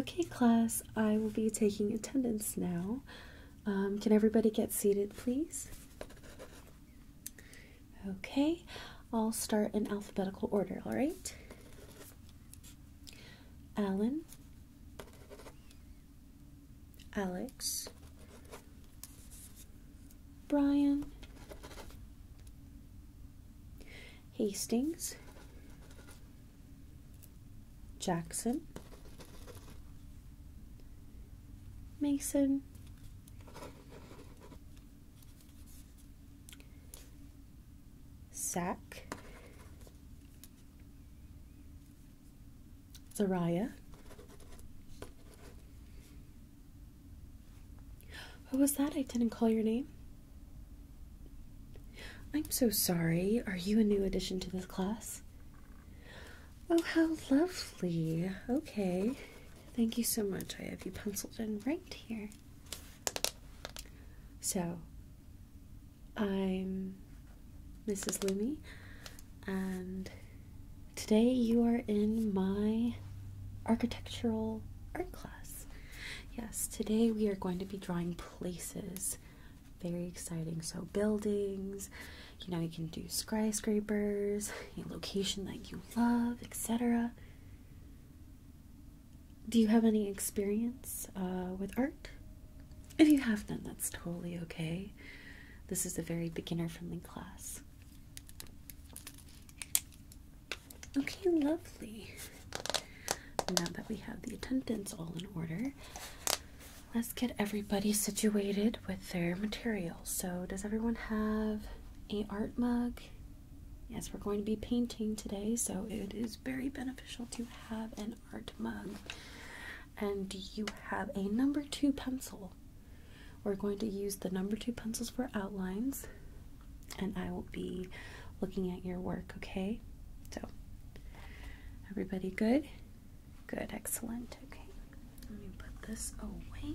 Okay, class, I will be taking attendance now. Um, can everybody get seated, please? Okay, I'll start in alphabetical order, all right? Alan, Alex, Brian, Hastings, Jackson, Mason, Sack, Zariah, what was that? I didn't call your name. I'm so sorry. Are you a new addition to this class? Oh, how lovely. Okay. Thank you so much. I have you penciled in right here. So, I'm Mrs. Lumi, and today you are in my architectural art class. Yes, today we are going to be drawing places. Very exciting. So, buildings, you know, you can do skyscrapers, a location that you love, etc. Do you have any experience uh, with art? If you have none, that's totally okay. This is a very beginner friendly class. Okay, lovely. Now that we have the attendants all in order, let's get everybody situated with their materials. So, does everyone have a art mug? Yes, we're going to be painting today, so it is very beneficial to have an art mug. And do you have a number two pencil? We're going to use the number two pencils for outlines and I will be looking at your work, okay? So, everybody good? Good, excellent. Okay, let me put this away.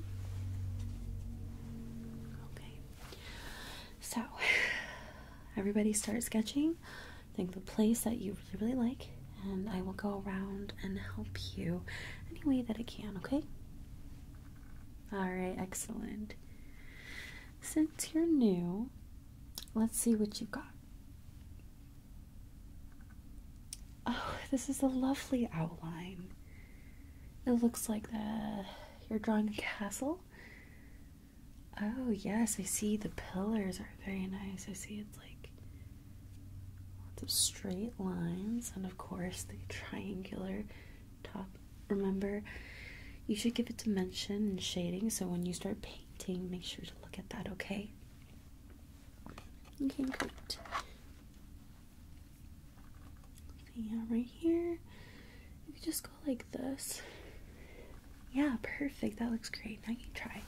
Okay, so everybody start sketching. Think the place that you really, really like, and I will go around and help you any way that I can, okay? All right, excellent. Since you're new, let's see what you got. Oh, this is a lovely outline. It looks like the you're drawing a castle. Oh yes, I see the pillars are very nice. I see it's like lots of straight lines and of course the triangular top. Remember, you should give it dimension and shading, so when you start painting, make sure to look at that, okay? Okay, great. Yeah, right here. You could just go like this. Yeah, perfect. That looks great. Now you try.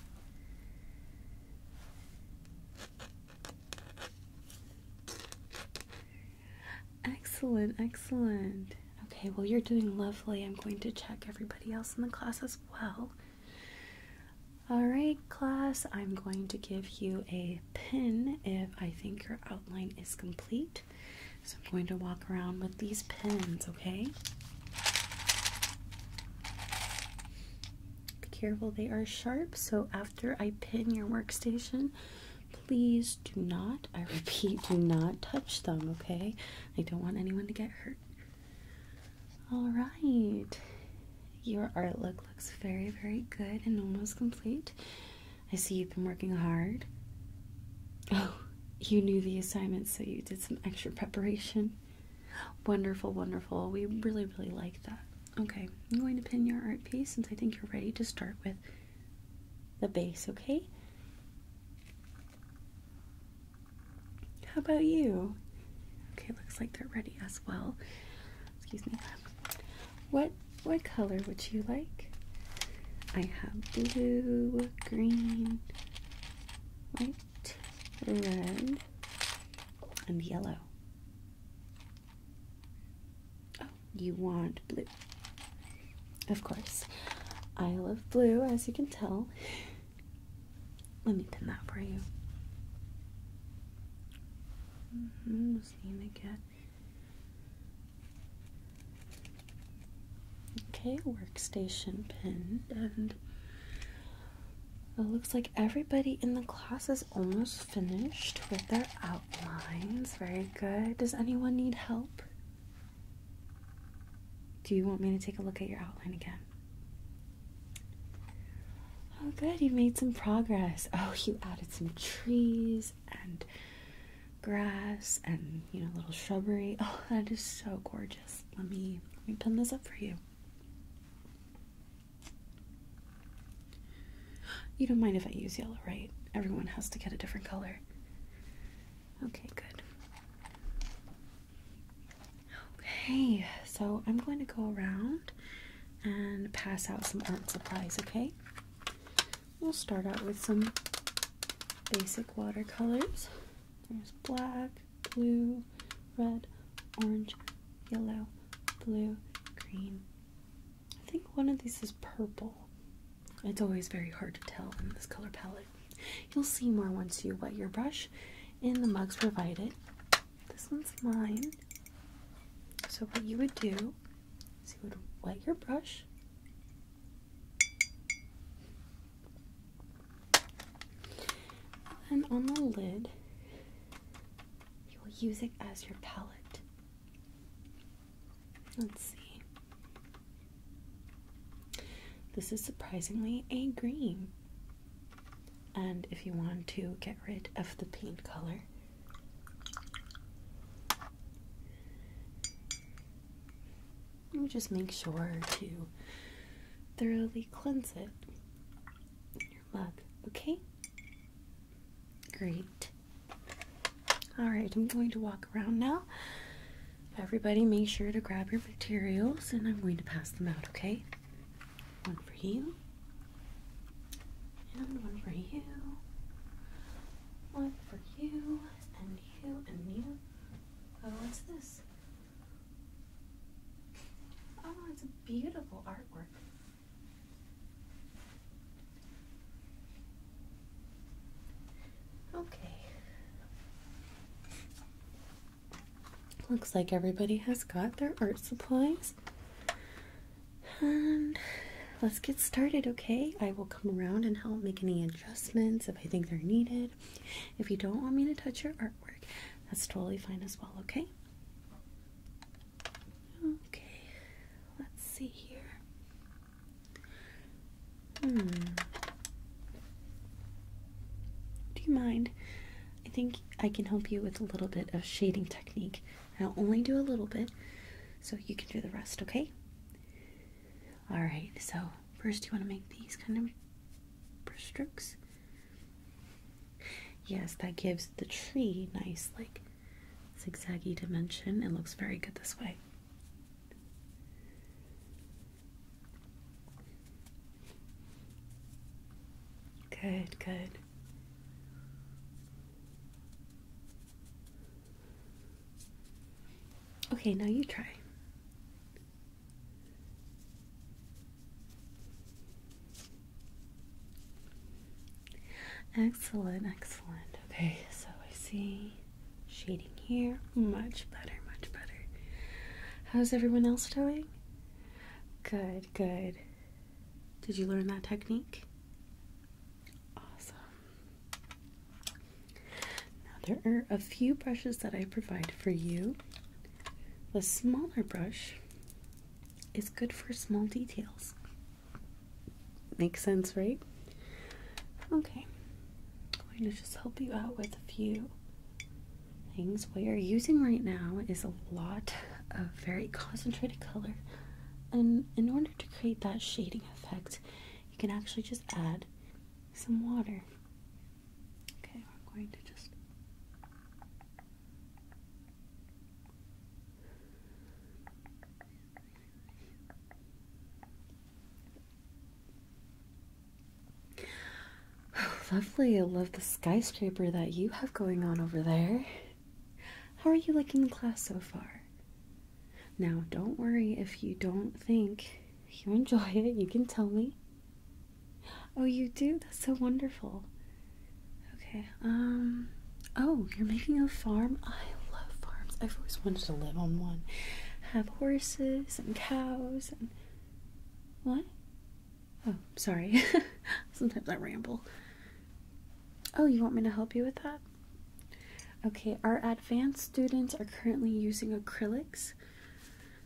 Excellent, excellent. Okay, well, you're doing lovely. I'm going to check everybody else in the class as well. All right, class, I'm going to give you a pin if I think your outline is complete. So I'm going to walk around with these pins, okay? Be careful, they are sharp. So after I pin your workstation, Please do not, I repeat, do not touch them, okay? I don't want anyone to get hurt. Alright, your art look looks very, very good and almost complete. I see you've been working hard. Oh, you knew the assignment, so you did some extra preparation. Wonderful, wonderful. We really, really like that. Okay, I'm going to pin your art piece since I think you're ready to start with the base, okay? How about you? Okay, looks like they're ready as well. Excuse me. What what color would you like? I have blue, green, white, red, and yellow. Oh, you want blue. Of course. I love blue, as you can tell. Let me pin that for you. Mm-hmm, just need to get. Okay, workstation pin, and it looks like everybody in the class is almost finished with their outlines. Very good. Does anyone need help? Do you want me to take a look at your outline again? Oh, good. You made some progress. Oh, you added some trees and grass and you know little shrubbery. Oh, that is so gorgeous. Let me let me pin this up for you. You don't mind if I use yellow, right? Everyone has to get a different color. Okay, good. Okay, so I'm going to go around and pass out some art supplies, okay? We'll start out with some basic watercolors. There's black, blue, red, orange, yellow, blue, green, I think one of these is purple. It's always very hard to tell in this color palette. You'll see more once you wet your brush in the mugs provided. This one's mine. So, what you would do is you would wet your brush. And on the lid, you will use it as your palette. Let's see. This is surprisingly a green. And if you want to get rid of the paint color, you just make sure to thoroughly cleanse it in your mug, okay? Great. All right, I'm going to walk around now. Everybody, make sure to grab your materials and I'm going to pass them out, okay? One for you, and one for you, one for you, and you, and you. Oh, what's this? Oh, it's a beautiful artwork. Okay. Looks like everybody has got their art supplies. And um, let's get started, okay? I will come around and help make any adjustments if I think they're needed. If you don't want me to touch your artwork, that's totally fine as well, okay? Okay, let's see here. Hmm. Do you mind? I think I can help you with a little bit of shading technique. I'll only do a little bit so you can do the rest, okay? Alright, so first you want to make these kind of brushstrokes. Yes, that gives the tree nice, like, zigzaggy dimension. It looks very good this way. Good, good. Okay, now you try. Excellent, excellent. Okay, so I see shading here. Much better, much better. How's everyone else doing? Good, good. Did you learn that technique? Awesome. Now, there are a few brushes that I provide for you. The smaller brush is good for small details. Makes sense, right? Okay. I'm going to just help you out with a few things. What you're using right now is a lot of very concentrated color. And in order to create that shading effect, you can actually just add some water. Okay, I'm going to just Lovely, I love the skyscraper that you have going on over there. How are you liking the class so far? Now, don't worry if you don't think you enjoy it, you can tell me. Oh, you do? That's so wonderful. Okay, um, oh, you're making a farm? I love farms. I've always wanted to live on one. Have horses and cows and. What? Oh, sorry. Sometimes I ramble. Oh, you want me to help you with that? Okay, our advanced students are currently using acrylics.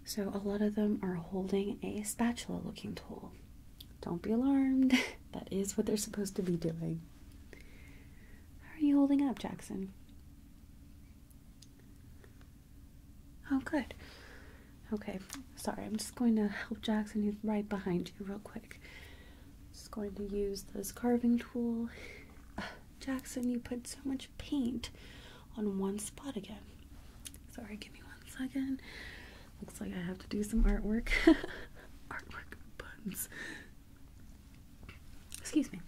So, a lot of them are holding a spatula looking tool. Don't be alarmed. That is what they're supposed to be doing. How are you holding up, Jackson? Oh, good. Okay, sorry, I'm just going to help Jackson, He's right behind you, real quick. Just going to use this carving tool. Jackson, you put so much paint on one spot again. Sorry, give me one second. Looks like I have to do some artwork. artwork buns. Excuse me.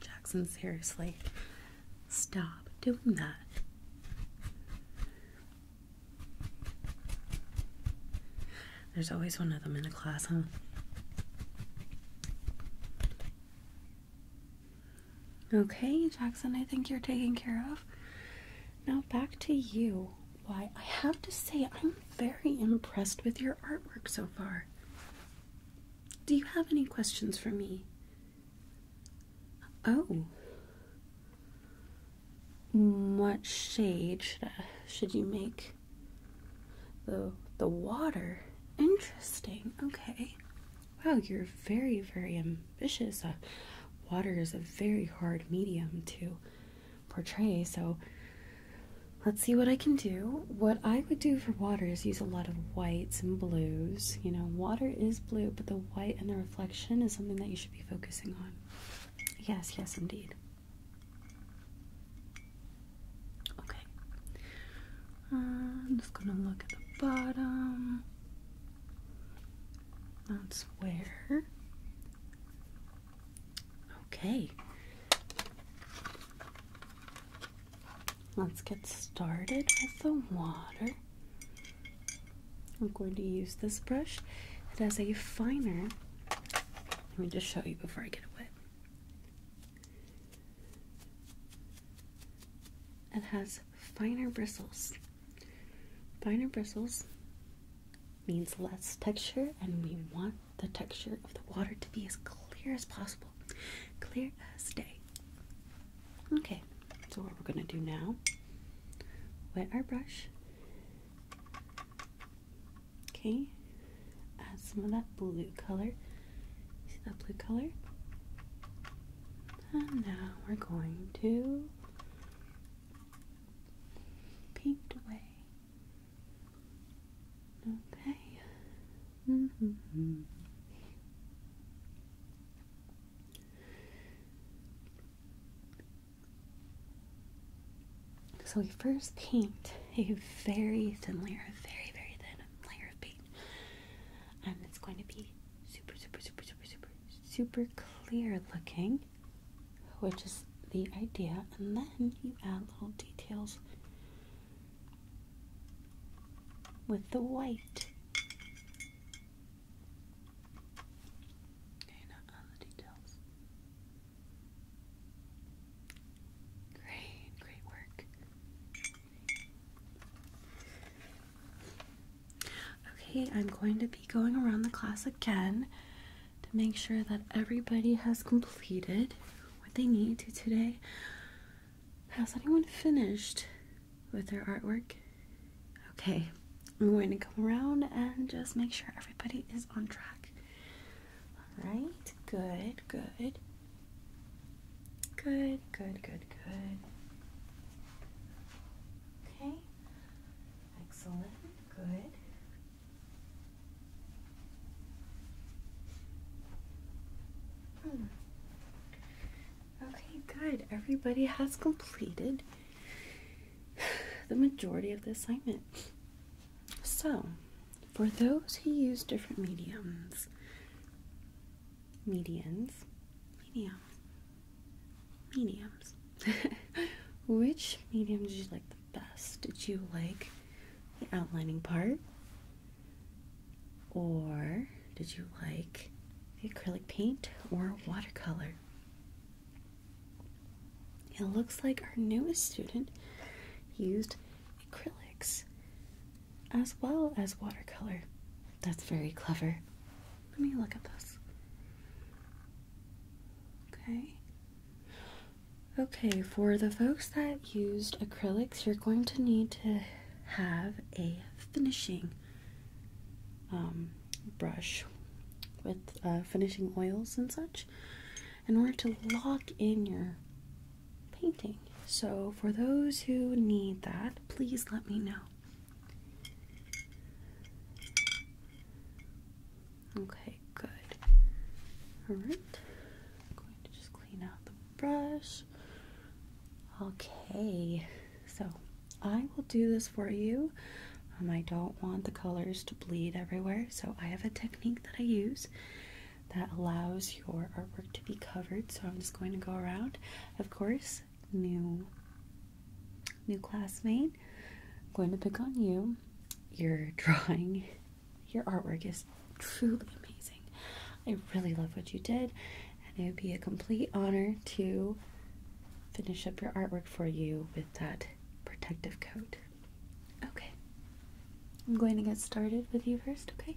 Jackson, seriously. Stop doing that. There's always one of them in the class, huh? Okay, Jackson, I think you're taking care of. Now back to you. Why, I have to say, I'm very impressed with your artwork so far. Do you have any questions for me? Oh. What shade should, should you make? The, the water? Interesting. Okay. Wow, you're very, very vicious. Uh, water is a very hard medium to portray, so let's see what I can do. What I would do for water is use a lot of whites and blues. You know, water is blue, but the white and the reflection is something that you should be focusing on. Yes, yes, indeed. Okay. I'm just gonna look at the bottom. That's where. Okay. Let's get started with the water. I'm going to use this brush. It has a finer, let me just show you before I get wet. It has finer bristles. Finer bristles means less texture, and we want the texture of the water to be as clear as possible. Clear as day. Okay, so what we're going to do now, wet our brush. Okay, add some of that blue color. See that blue color? And now we're going to peeked away. Okay. Mm-hmm. So we first paint a very thin layer, a very, very thin layer of paint. And it's going to be super, super, super, super, super, super clear looking, which is the idea, and then you add little details with the white. Okay, not on the details. Great, great work. Okay, I'm going to be going around the class again to make sure that everybody has completed what they need to today. Has anyone finished with their artwork? Okay, I'm going to come around and just make sure everybody is on track. Alright, good, good. Good, good, good, good. Okay. Excellent, good. Hmm. Okay, good. Everybody has completed the majority of the assignment. So, for those who use different mediums, medians, medium, mediums. Which medium did you like the best? Did you like the outlining part? Or did you like the acrylic paint or watercolor? It looks like our newest student used acrylics as well as watercolor. That's very clever. Let me look at this. Okay. Okay, for the folks that used acrylics, you're going to need to have a finishing um, brush with uh, finishing oils and such in order to lock in your painting. So, for those who need that, please let me know. Okay, good. Alright. I'm going to just clean out the brush. Okay, so I will do this for you. Um, I don't want the colors to bleed everywhere, so I have a technique that I use that allows your artwork to be covered. So I'm just going to go around. Of course, new new classmate. I'm going to pick on you. Your drawing, your artwork is truly amazing. I really love what you did, and it would be a complete honor to finish up your artwork for you with that protective coat. Okay. I'm going to get started with you first, okay?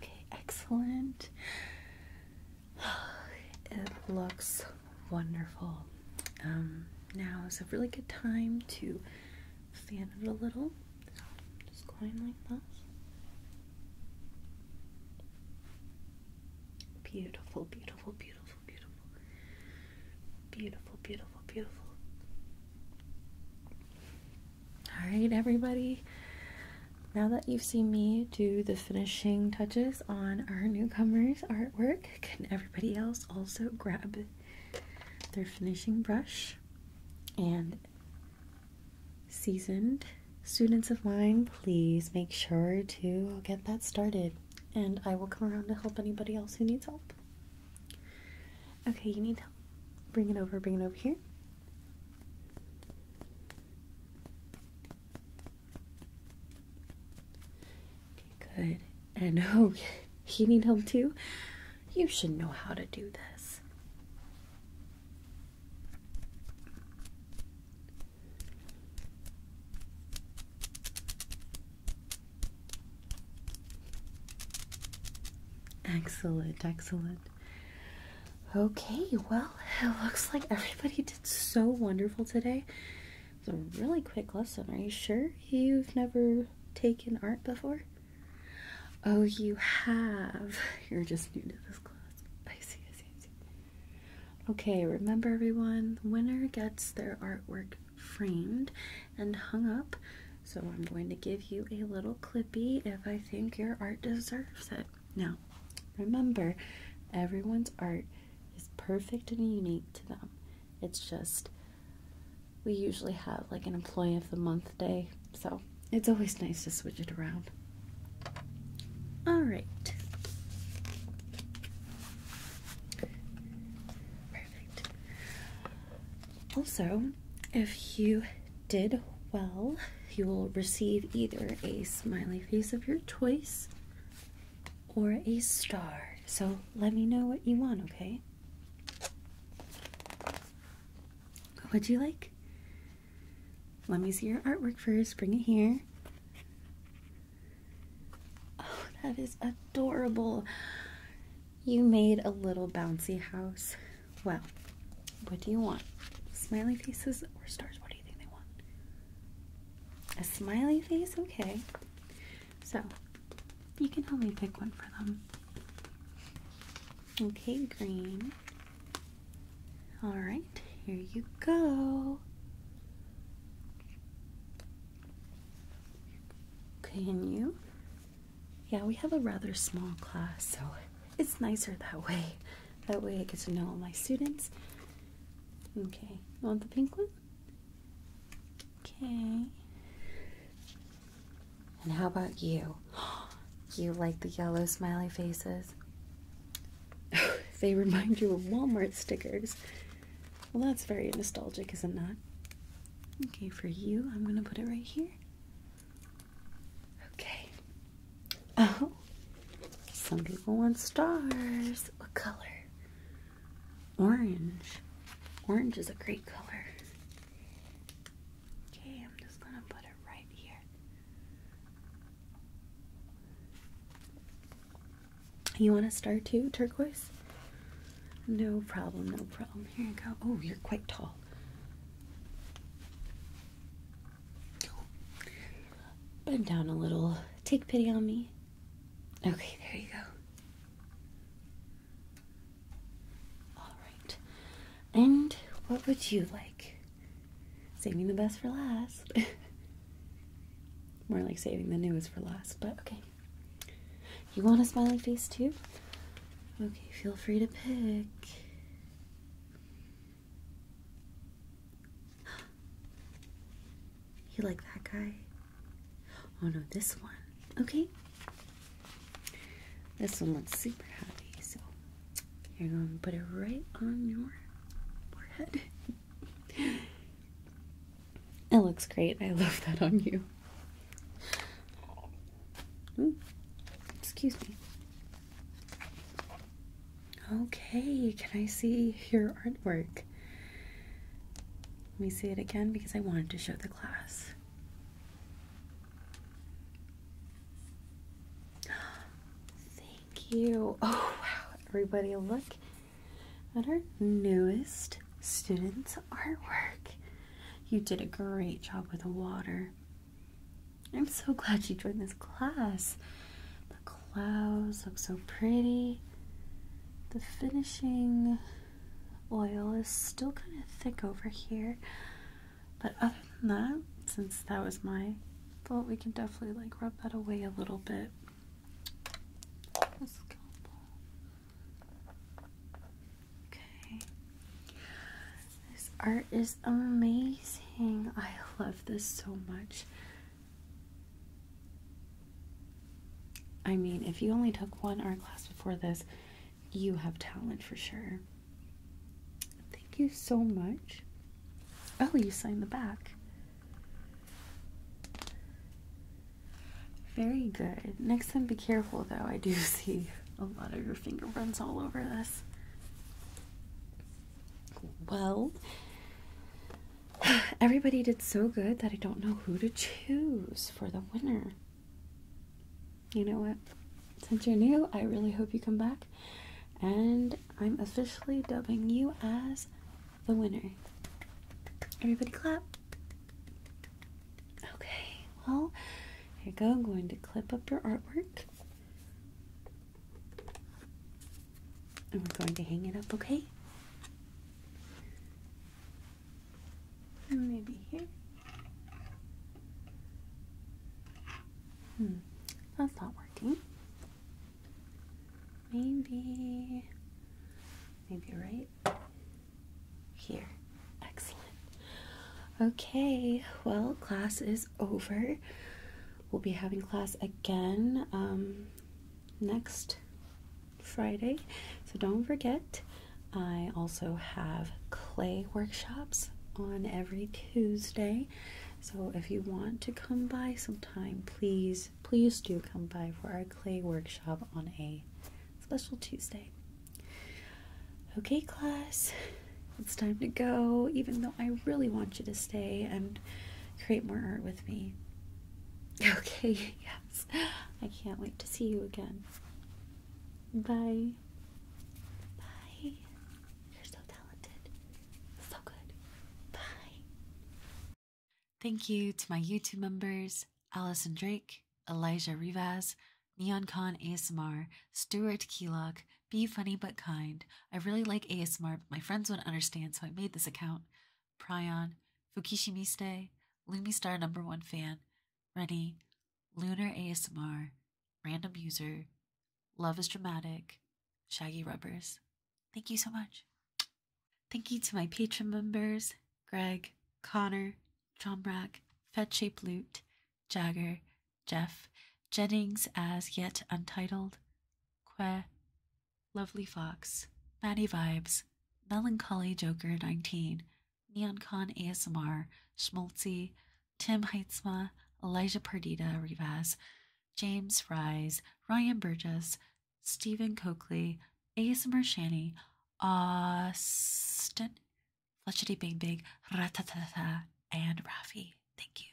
Okay, excellent. It looks wonderful. Um, now is a really good time to fan it a little. just going like this. Beautiful, beautiful, beautiful, beautiful. Beautiful, beautiful, beautiful. All right, everybody. Now that you've seen me do the finishing touches on our newcomers' artwork, can everybody else also grab their finishing brush and seasoned students of mine? Please make sure to get that started, and I will come around to help anybody else who needs help. Okay, you need help. Bring it over, bring it over here. Okay, good. And oh, you need help too? You should know how to do this. Excellent, excellent. Okay, well, it looks like everybody did so wonderful today. It's a really quick lesson. Are you sure you've never taken art before? Oh, you have. You're just new to this class. Okay, remember everyone, the winner gets their artwork framed and hung up. So I'm going to give you a little clippy if I think your art deserves it. Now, remember, everyone's art is perfect and unique to them. It's just, we usually have like an employee of the month day, so it's always nice to switch it around. All right. Perfect. Also, if you did well, you will receive either a smiley face of your choice or a star. So let me know what you want, okay? What'd you like? Let me see your artwork first. Bring it here. Oh, that is adorable. You made a little bouncy house. Well, what do you want? Smiley faces or stars? What do you think they want? A smiley face? Okay. So, you can help me pick one for them. Okay, green. Alright, here you go. Can you yeah, we have a rather small class, so it's nicer that way. That way I get to know all my students. Okay, you want the pink one? Okay. And how about you? You like the yellow smiley faces? they remind you of Walmart stickers. Well, that's very nostalgic, is it not? Okay, for you, I'm gonna put it right here. Okay. Oh, some people want stars. What color? Orange. Orange is a great color. Okay, I'm just gonna put it right here. You want a star too, turquoise? No problem, no problem. Here you go. Oh, you're quite tall. Bend down a little. Take pity on me. Okay, there you go. Alright. And what would you like? Saving the best for last. More like saving the newest for last, but okay. You want a smiling face too? Okay, feel free to pick. You like that guy? Oh no, this one. Okay. This one looks super heavy, so you're going to put it right on your forehead. it looks great. I love that on you. Hmm. excuse me. Okay, can I see your artwork? Let me see it again because I wanted to show the class. Thank you. Oh, wow. Everybody, look at our newest student's artwork. You did a great job with the water. I'm so glad you joined this class. The clouds look so pretty. The finishing oil is still kind of thick over here. But other than that, since that was my fault, we can definitely like rub that away a little bit. Okay. This art is amazing. I love this so much. I mean, if you only took one art class before this, you have talent for sure. Thank you so much. Oh, you signed the back. Very good. Next time, be careful though. I do see a lot of your fingerprints all over this. Well, everybody did so good that I don't know who to choose for the winner. You know what? Since you're new, I really hope you come back. And I'm officially dubbing you as the winner. Everybody clap. Okay, well, here you go. I'm going to clip up your artwork. And we're going to hang it up, okay? maybe here. Hmm, that's not working. Maybe, maybe right here. Excellent. Okay, well, class is over. We'll be having class again um, next Friday, so don't forget. I also have clay workshops on every Tuesday. So if you want to come by sometime, please, please do come by for our clay workshop on a special Tuesday. Okay, class, it's time to go, even though I really want you to stay and create more art with me. Okay, yes. I can't wait to see you again. Bye. Bye. You're so talented. So good. Bye. Thank you to my YouTube members, Allison Drake, Elijah Rivas, NeonCon ASMR, Stuart Keelock, Be Funny But Kind. I really like ASMR, but my friends wouldn't understand, so I made this account. Pryon, Fukishimiste, Lumistar Number One Fan, Rennie, Lunar ASMR, Random User, Love is Dramatic, Shaggy Rubbers. Thank you so much. Thank you to my patron members, Greg, Connor, John Brack, Lute. Jagger, Jeff, Jennings as yet untitled, Que, Lovely Fox, Matty Vibes, Melancholy Joker 19, NeonCon ASMR, Schmaltzy, Tim Heitzma, Elijah Perdita Rivas, James Rise, Ryan Burgess, Stephen Coakley, ASMR Shanny, Austin Fletchity Bing Bing, Ratatata, and Rafi. Thank you.